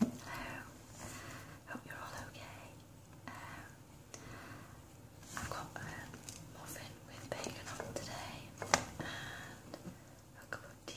Hello. Hope you're all okay. Um, I've got a um, muffin with bacon on today and a cup of tea.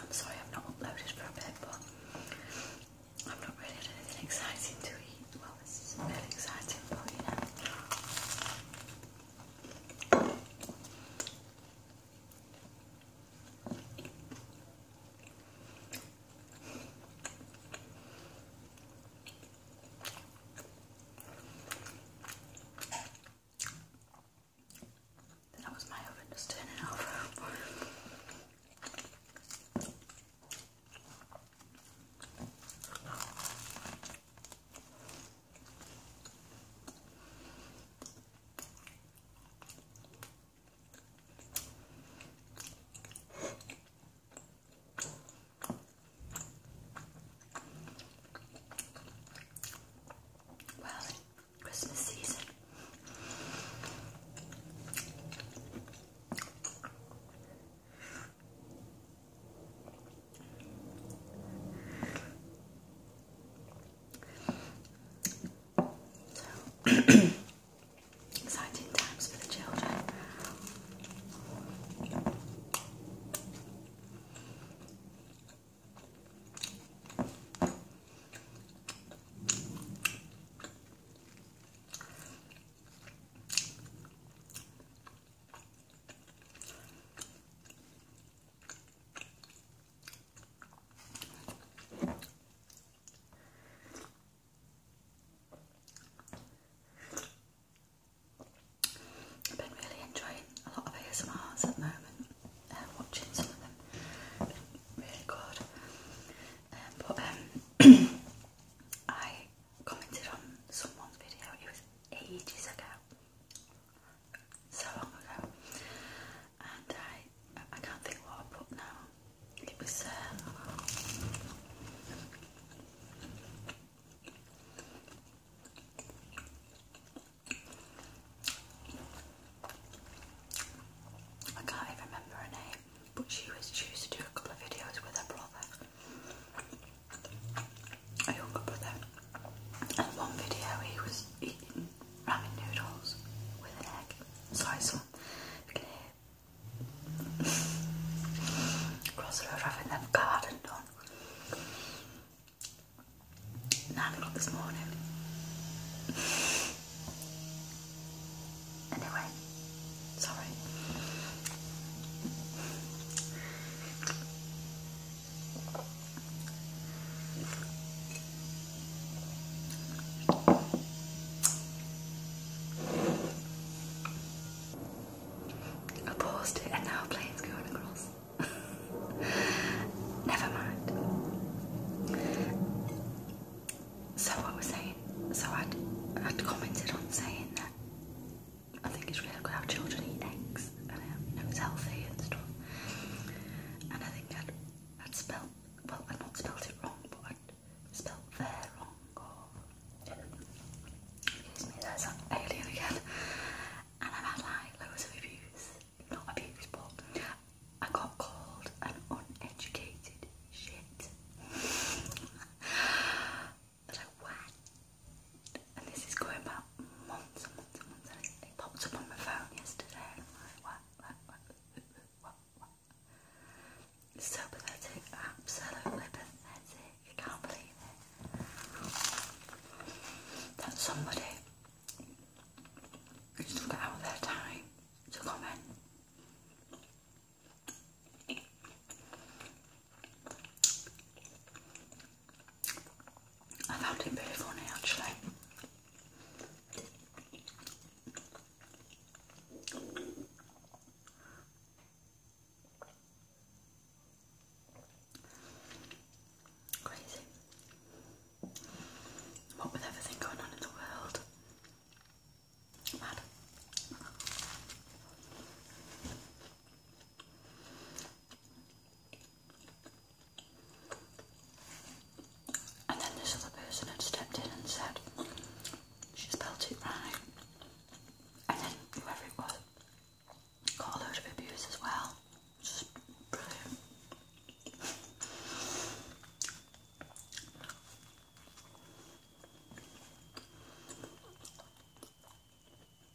I'm sorry I've not uploaded for a bit, but i am not really had anything exciting to eat. Well, this is really exciting, but you know. That was my oven just turning off. Well, Christmas season. So Exciting times for the children. I've been really enjoying a lot of ASMRs at the moment, um, watching some of them, really good. Um, but um, I commented on someone's video, it was ages ago, so long ago, and I I can't think what I put now. It was uh, I can't even remember her name, but she was she used to do a couple of videos with her brother, a younger brother. And one video he was eating ramen noodles with an egg. Sorry, someone. You can hear. Across the road, having garden Nine o'clock this morning. Anyway, sorry. I paused it and now a plane's going across. Never mind. So I was saying, so I'd, I'd commented on saying that I think it's really good how children eat eggs and um, you know, it's healthy and stuff. And I think that that's spelled well, I not spelled it wrong, but I spelled there wrong. Oh. excuse me, there's that alien again. And I've had like loads of abuse, not abuse, but I got called an uneducated shit. that I went, and this is going back months and months and months, and it popped up on my phone yesterday, so pathetic, absolutely pathetic. I can't believe That somebody took out their time to comment. I found it very funny actually. Crazy. What with everything going on in the world. Mad. And then this other person had stepped in and said, she spelled it right. And then whoever got a load of abuse as well. Just brilliant.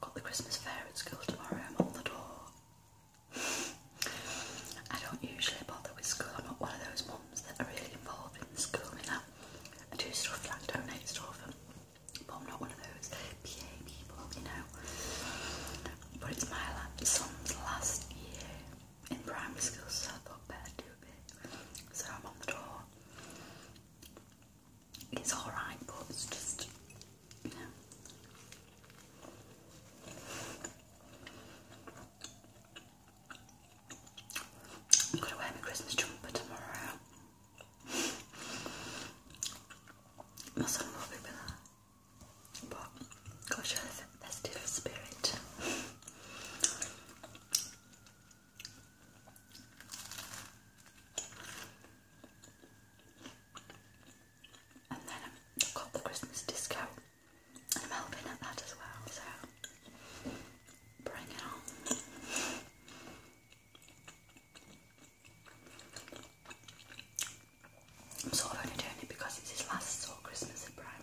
Got the Christmas fair at school tomorrow, I'm on the door. I don't usually bother with school, I'm not one of those mums that are really involved in school. You know, I, I do stuff like donate stuff, but I'm not one of those PA people, you know. But it's my son's last year in primary school, so I thought better do a bit. So I'm on the door. It's alright, but it's just, I'm going to wear my Christmas jumper tomorrow. my son will be with her. But, gosh, there's a spirit. And then I've got the Christmas disco, and I'm helping at that as well, so bring it on. I'm sort of only doing it because it's his last sort Christmas in primary.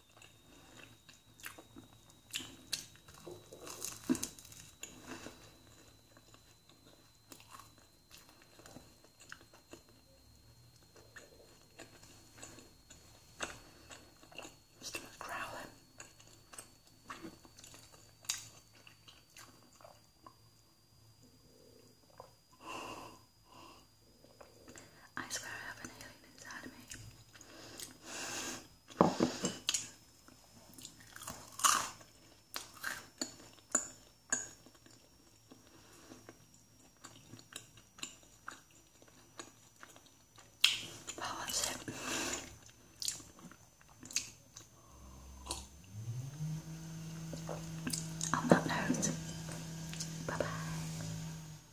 Stomach growling. I swear I have an alien inside of me. Well, that's it. On that note, bye bye.